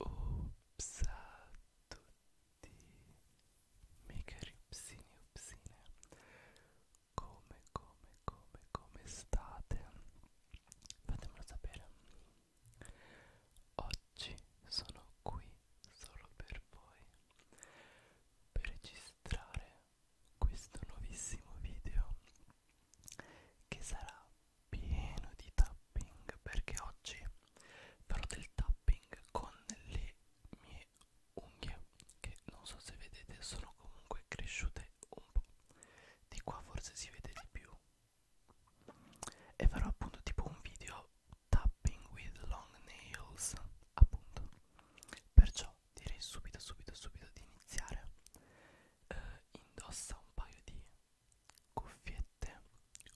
Ops a tutti Megaripsini upsine Come come come come state? Fatemelo sapere Oggi sono qui solo per voi Precisamente registrare questo nuovissimo video che sarà pieno di tapping perché oggi farò del tapping con le mie unghie che non so se vedete sono comunque cresciute un po' di qua forse si vede di più e farò appunto tipo un video tapping with long nails appunto Perciò direi subito, subito, subito di iniziare. Eh, indossa un paio di cuffiette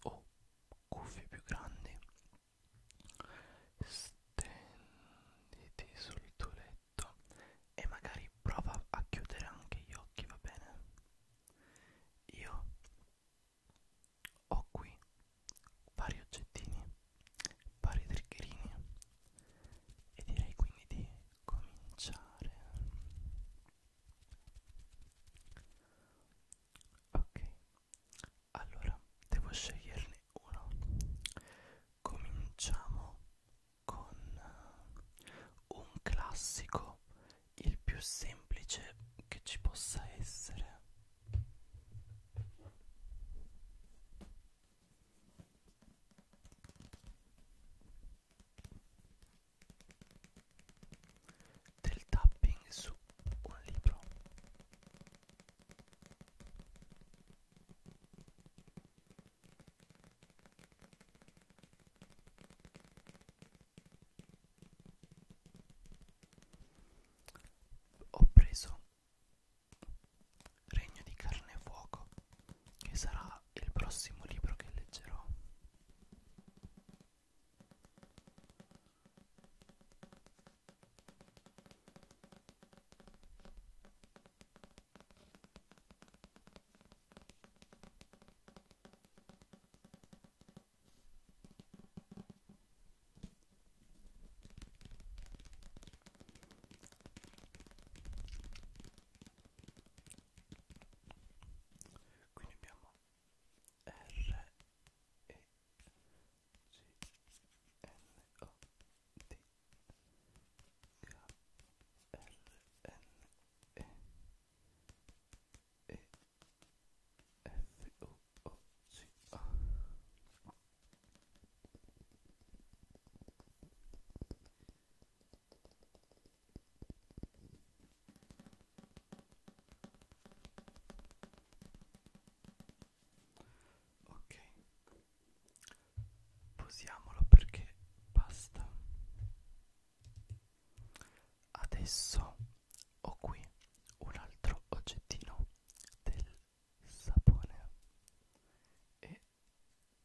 o cuffie più grandi. Stenditi sul tuo letto e magari prova a chiudere anche gli occhi, va bene? Io ho qui vari oggettini vari triggerini e direi quindi di cominciare ok allora devo sceglierne uno cominciamo con eh, un classico il più semplice che ci possa essere del tapping su un libro ho preso Regno di carne e fuoco, che sarà il prossimo libro che leggerò quindi abbiamo R E C N O D K R N E E F U oh, sì. ah. ok posiamolo perché basta adesso ho qui un altro oggettino del sapone e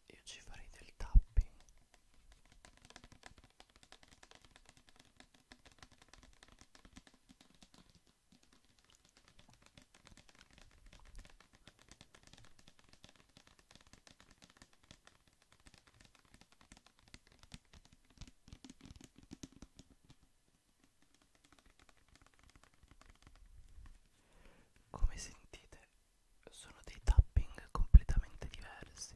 io ci farei del tapping come sentite sono dei tapping completamente diversi.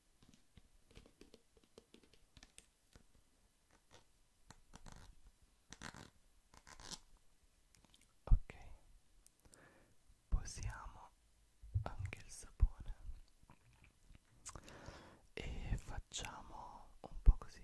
Ok, posiamo anche il sapone e facciamo un po' così.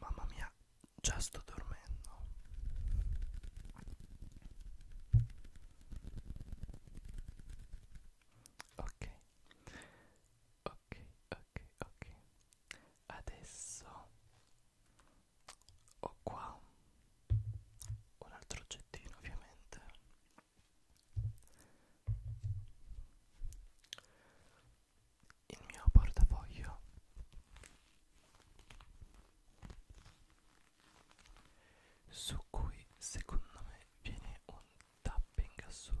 Mamma mia, già sto dormendo. Ok, ok, ok, ok. adesso ho qua un altro oggettino ovviamente il mio portafoglio su cui secondo me viene un tapping assurdo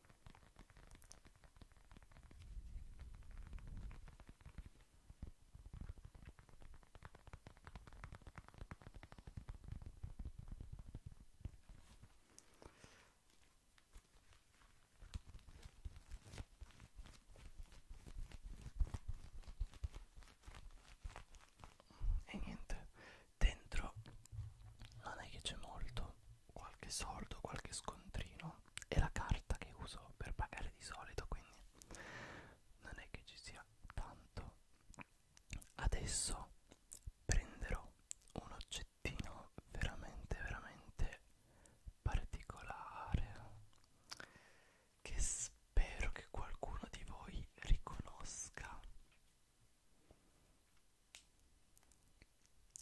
e niente dentro non è che c'è molto qualche soldo, qualche scontrino è la carta che uso per pagare di solito quindi non è che ci sia tanto adesso prenderò un oggettino veramente veramente particolare che spero che qualcuno di voi riconosca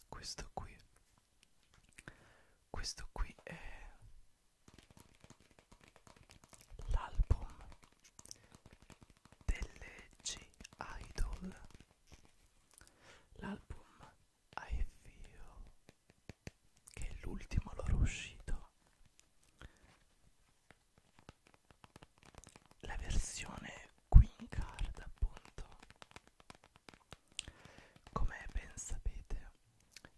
questo qui questo qui è l'album delle G-Idol. L'album I Feel, che è l'ultimo loro uscito. La versione Queen Card, appunto, come ben sapete,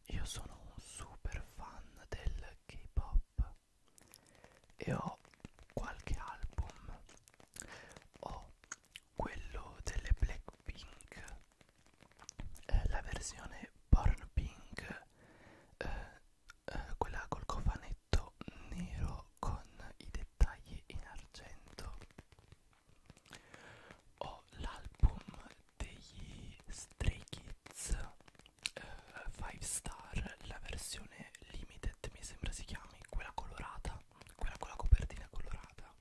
io sono un super fan del K-pop e ho qualche album. Ho quello delle Blackpink, eh, la versione Born Pink, eh, eh, quella col cofanetto nero con i dettagli in argento ho l'album degli Stray Kids 5 eh, Star, la versione limited mi sembra si chiami, quella colorata, quella con la copertina colorata.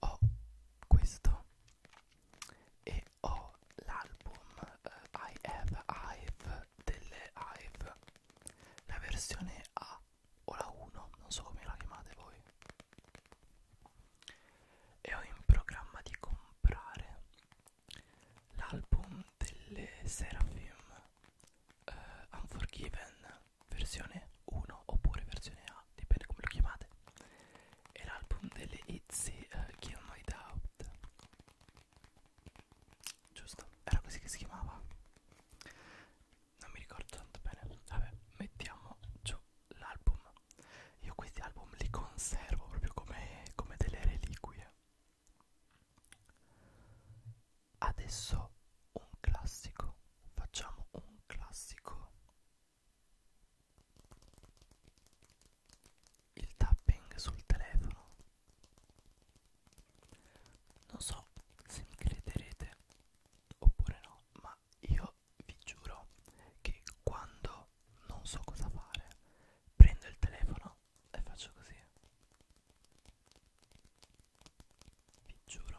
Ho questo e ho l'album eh, I Have Hive delle Hive, la versione A o la 1, non so come la chiamate voi e ho in programma di comprare l'album delle Seraphim uh, Unforgiven versione 1 oppure versione A, dipende come lo chiamate e l'album delle Itzy uh, Kill My Doubt giusto? era così che si chiamava non mi ricordo tanto bene vabbè mettiamo giù l'album io questi album li conservo proprio come, come delle reliquie adesso un classico facciamo un classico il tapping sul telefono non so se mi crederete oppure no no, ma io vi giuro che quando non so cosa fare, prendo il telefono e faccio così. Vi giuro.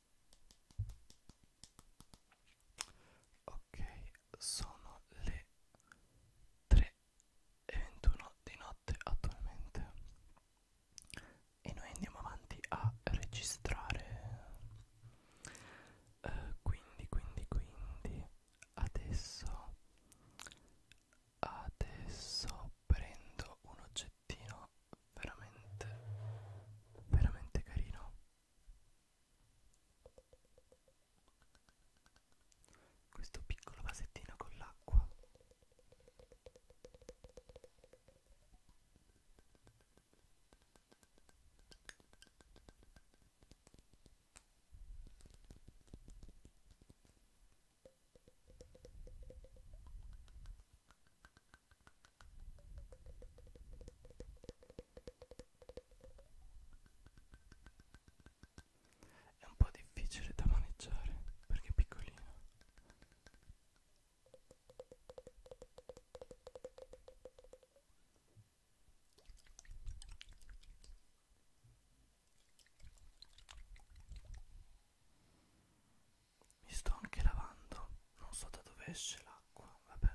ok sono le 3 e 21 di notte attualmente e noi andiamo avanti a registrare eh, quindi quindi quindi adesso adesso prendo un oggettino veramente veramente carino questo piccolo vasettino con l'acqua è un po' difficile da maneggiare perché è piccolino. Mi sto anche lavando, non so da dove esce l'acqua, vabbè.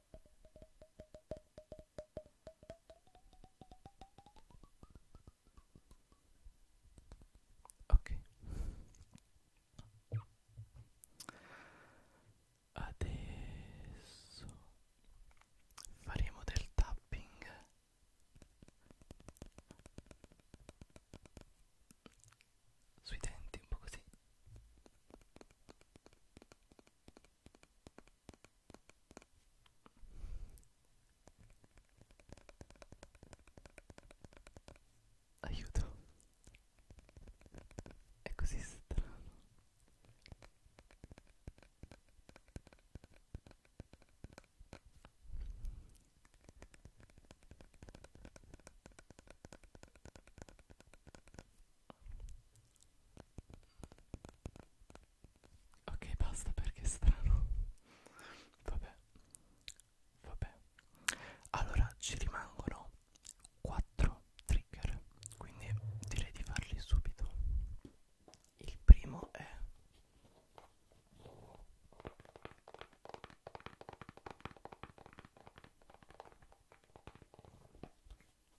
Ok. Adesso faremo del tapping. Sui denti un po' così. Aiuto. È così strano. Ok, basta perché è strano. Vabbè. Vabbè. Allora ci rimangono 4 trigger, quindi direi di farli subito. Il primo è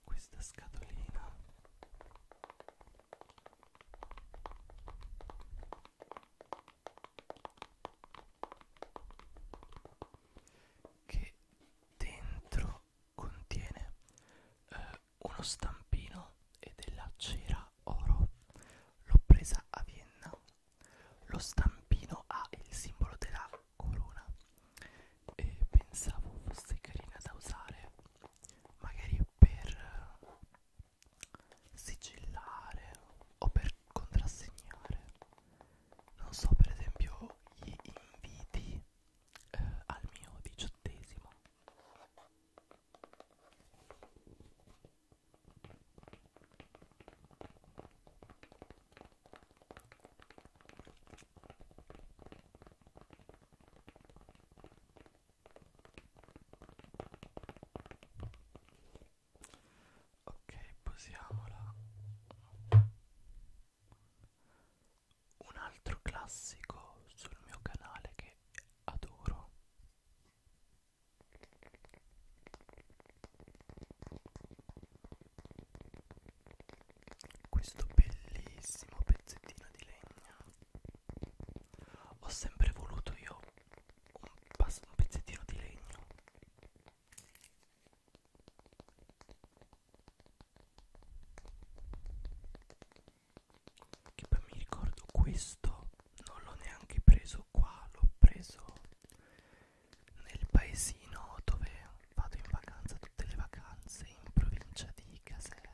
questa scatolina che dentro contiene eh, uno stampino e della cera oro l'ho presa a Vienna lo stampino ha il simbolo della corona e pensavo fosse carina da usare magari per sigillare o per contrassegnare non so per esempio gli inviti eh, al mio diciottesimo ok posiamola un altro classico sul mio canale che adoro questo bellissimo pezzettino di legno ho sempre voluto io un, un pezzettino di legno che poi mi ricordo questo non l'ho neanche preso qua l'ho preso nel paesino dove vado in vacanza tutte le vacanze in provincia di Caserta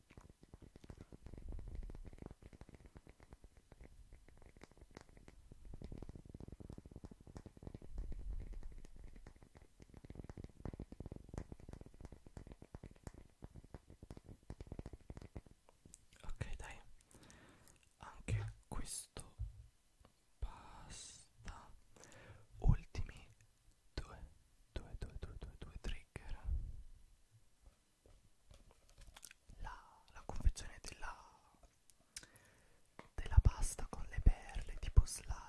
Ok, dai, anche questo basta. Ultimi due, due, due, due, due, due trigger la, la confezione della, della pasta con le perle tipo slime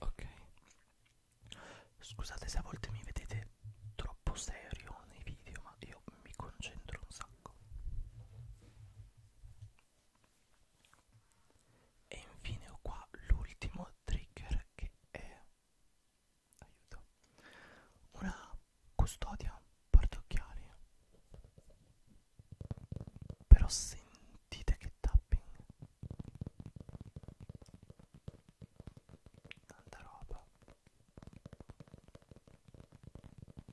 Ok, scusate se a volte mi vedete troppo serio nei video, ma io mi concentro un sacco sacco. E infine ho qua l'ultimo trigger che è aiuto una custodia portaocchiali però sentite che tapping tanta roba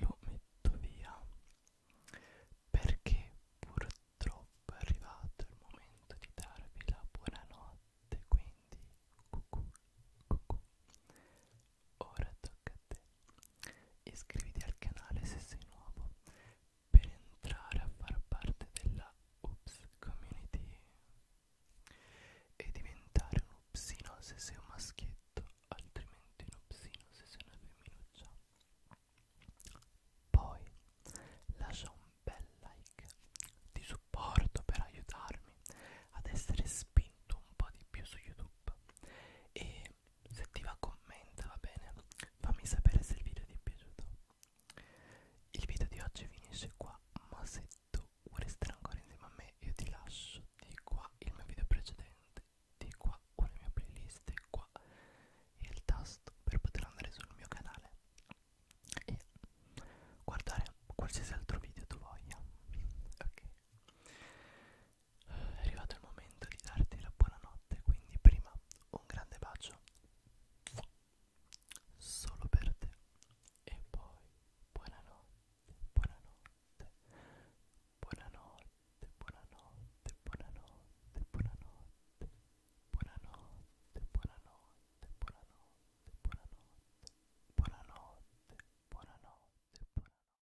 Lo metto via perché purtroppo è arrivato il momento di darvi la buonanotte, quindi cucù, cucù, ora tocca a te. Iscriviti al canale se sei nuovo per entrare a far parte della Ups Community e diventare un upsino se sei un maschietto, altrimenti un upsino se sei una femminuccia. Poi lascia un bel like di supporto per aiutarmi ad essere spinto un po' di più su YouTube e se ti va commenta, va bene? Fammi sapere se il video ti è piaciuto. Il video di oggi finisce qua, ma se tu vuoi restare ancora insieme a me, io ti lascio di qua il mio video precedente, di qua una mia playlist, di qua e il tasto per poter andare sul mio canale e guardare qualsiasi altro video tu voglia. Ok è arrivato il momento di darti la buonanotte, quindi prima un grande bacio solo per te e poi buonanotte, buonanotte, buonanotte, buonanotte, buonanotte, buonanotte, buonanotte, buonanotte, buonanotte, buonanotte, buonanotte, buonanotte, buonanotte.